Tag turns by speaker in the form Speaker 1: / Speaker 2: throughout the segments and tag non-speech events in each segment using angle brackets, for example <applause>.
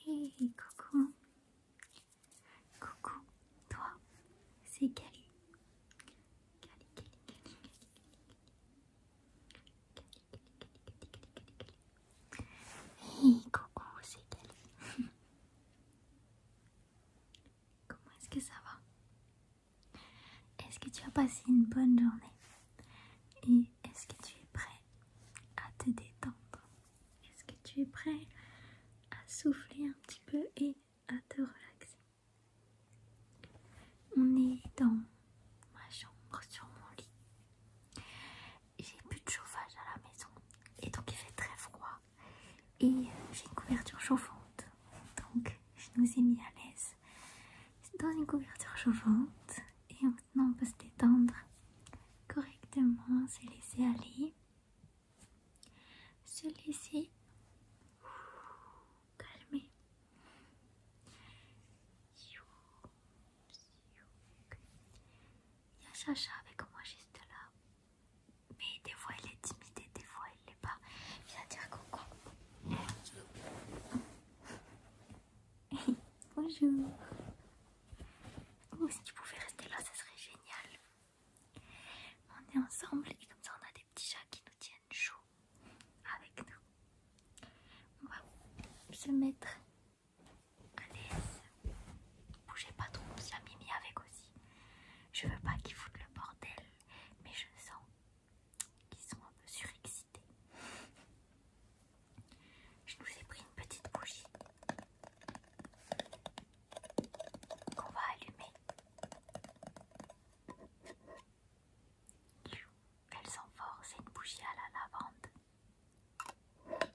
Speaker 1: Hey, coucou. Coucou, toi, c'est Cali. Cali, Cali, Cali, Kelly. Hey, coucou, c'est Cali. <laughs> Comment est-ce que ça va Est-ce que tu as passé une bonne journée Et est-ce que tu es prêt à te détendre est-ce que tu es prêt à souffler un petit peu et à te relaxer On est dans ma chambre sur mon lit. J'ai plus de chauffage à la maison et donc il fait très froid. Et euh, j'ai une couverture chauffante. Donc je nous ai mis à l'aise dans une couverture chauffante et maintenant on peut se détendre correctement, se laisser aller, se laisser calmer. Il y a Chacha avec moi juste là. Mais des fois elle est timide et des fois elle l'est pas. Viens dire coucou. <laughs> Bonjour. Oh, si tu pouvais rester là, ça serait génial. On est ensemble et comme ça, on a des petits chats qui nous tiennent chaud avec nous. On va se mettre à l'aise. Bougez pas trop, ça Mimi avec aussi. Je veux pas qu'ils foutent le bordel, mais je sens qu'ils sont un peu surexcités. Je nous ai pris une petite bougie qu'on va allumer. Elles sont fortes c'est une bougie à la lavande.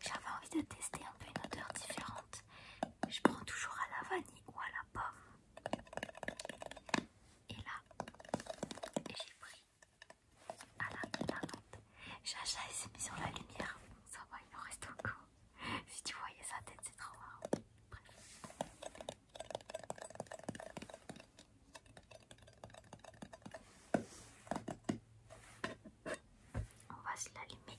Speaker 1: J'avais envie de tester un peu une odeur différente. Je prends toujours à la vanille ou à la pomme. Et là, j'ai pris à acheté de la il s'est mis sur la lumière. Ça va, il en reste encore. Si tu voyais sa tête, c'est trop marrant. Bref. On va se l'allumer.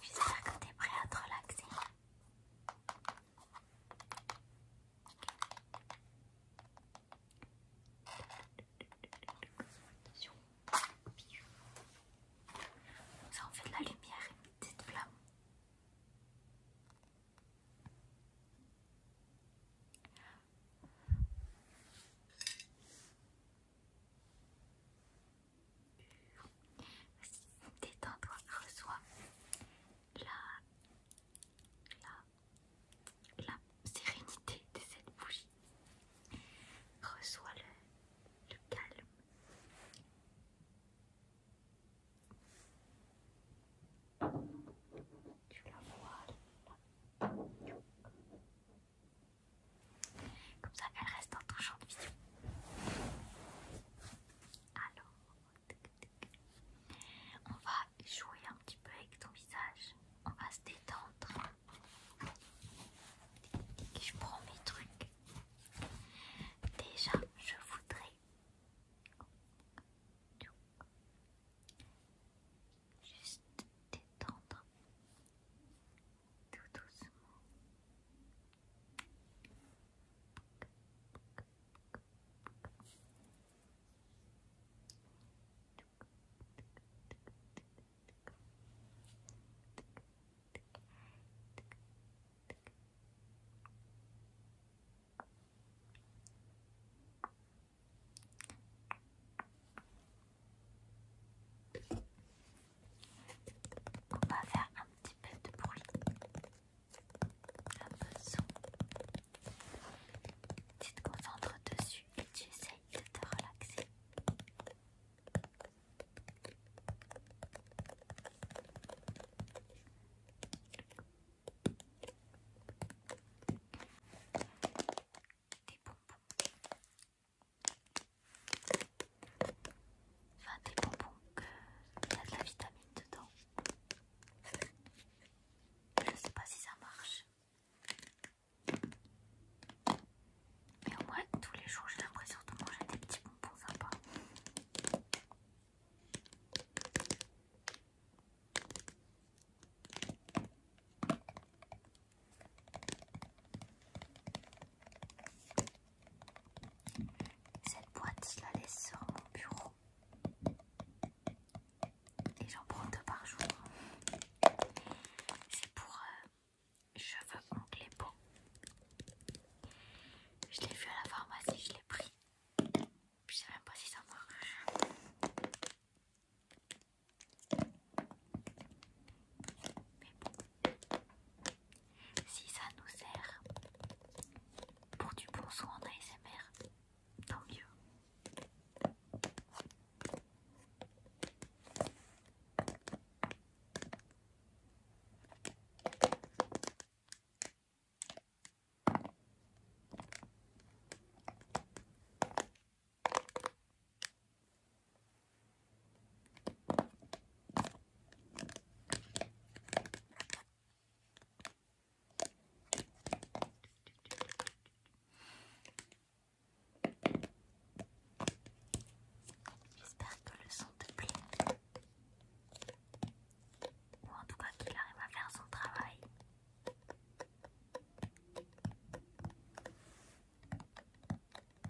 Speaker 1: J'espère que t'es prêt à te relaxer. Ça en fait de la lumière et une petite flamme détends-toi, reçois. La, la, sérénité de cette bougie. Reçois le, calme. Tu la vois Comme ça, elle reste en ton champ de vision. Alors, on va jouer un petit peu avec ton visage. On va se détendre. Je prends mes trucs. Déjà, je voudrais juste détendre tout doucement. On va faire un petit peu de bruit. Tu te concentres dessus et tu essayes de te relaxer. Enfin, des bonbons que ont de la vitamine dedans. Je sais pas si ça marche. Mais au moins, tous les jours, j'ai l'impression de manger des petits bonbons sympas. Cette boîte, je la laisse sur mon bureau. Et j'en prends deux par jour. C'est pour euh, cheveux, ongles et peau. Je l'ai vu à la pharmacie, je l'ai pris. Je sais même pas si ça marche. Si ça nous sert pour du bon soin en ASMR, tant mieux. J'espère que le son te plaît. Ou en tout cas qu'il arrive à faire son travail.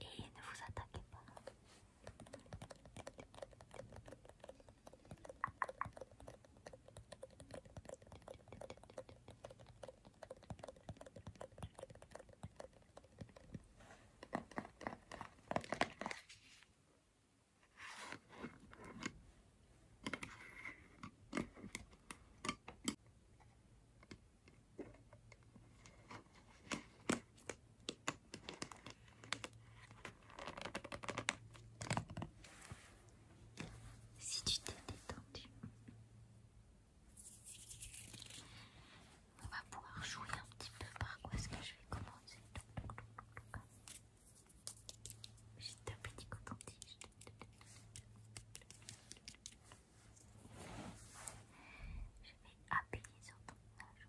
Speaker 1: Et ne vous attaquez pas. Si tu t'es détendu, on va pouvoir jouer un petit peu par quoi est-ce que je vais commencer. Juste un petit coton-tige. Je vais appuyer sur ton âge.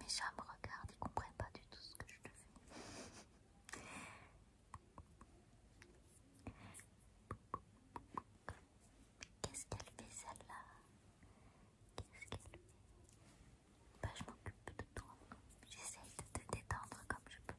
Speaker 1: Mes chats regardent, ils comprennent pas du tout ce que je te fais. Qu'est-ce qu'elle fait celle-là bah, je m'occupe de toi. J'essaye de te détendre comme je peux.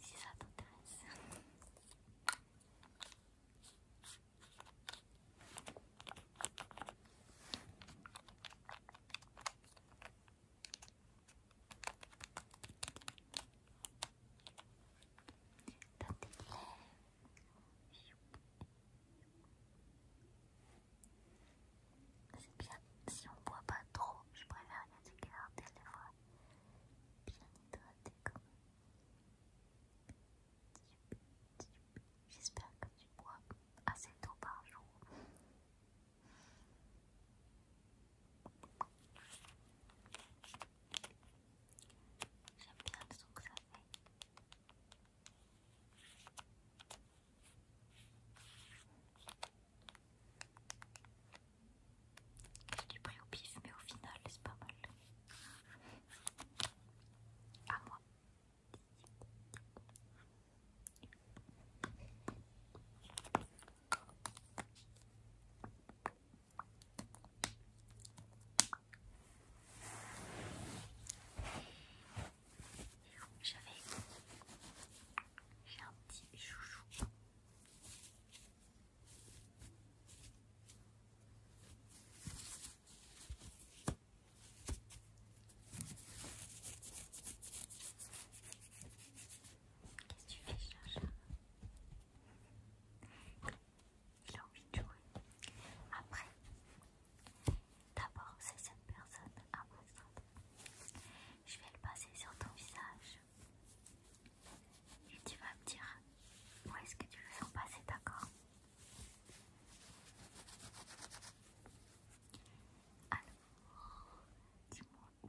Speaker 1: si ça t'intéresse. C'est bien, si on boit pas trop, je préfère garder les voix bien hydraté J'espère que tu bois assez d'eau par jour. J'aime bien le son que ça fait. J'ai pris au pif, mais au final, c'est pas mal. À moi. J'avais j'ai un petit chouchou Qu'est-ce que tu fais, cherche. Il a envie de jouer. Après, d'abord, c'est cette personne à moi. Je vais le passer sur ton visage. Et tu vas me dire où est-ce que tu le sens passer, d'accord Alors, dis-moi où.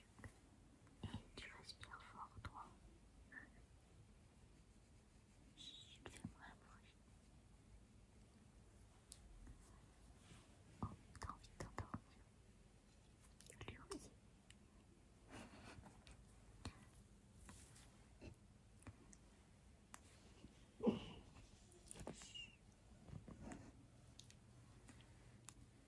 Speaker 1: et tu respires fort toi. fais-moi un bruit. Oh, t'as envie de Lui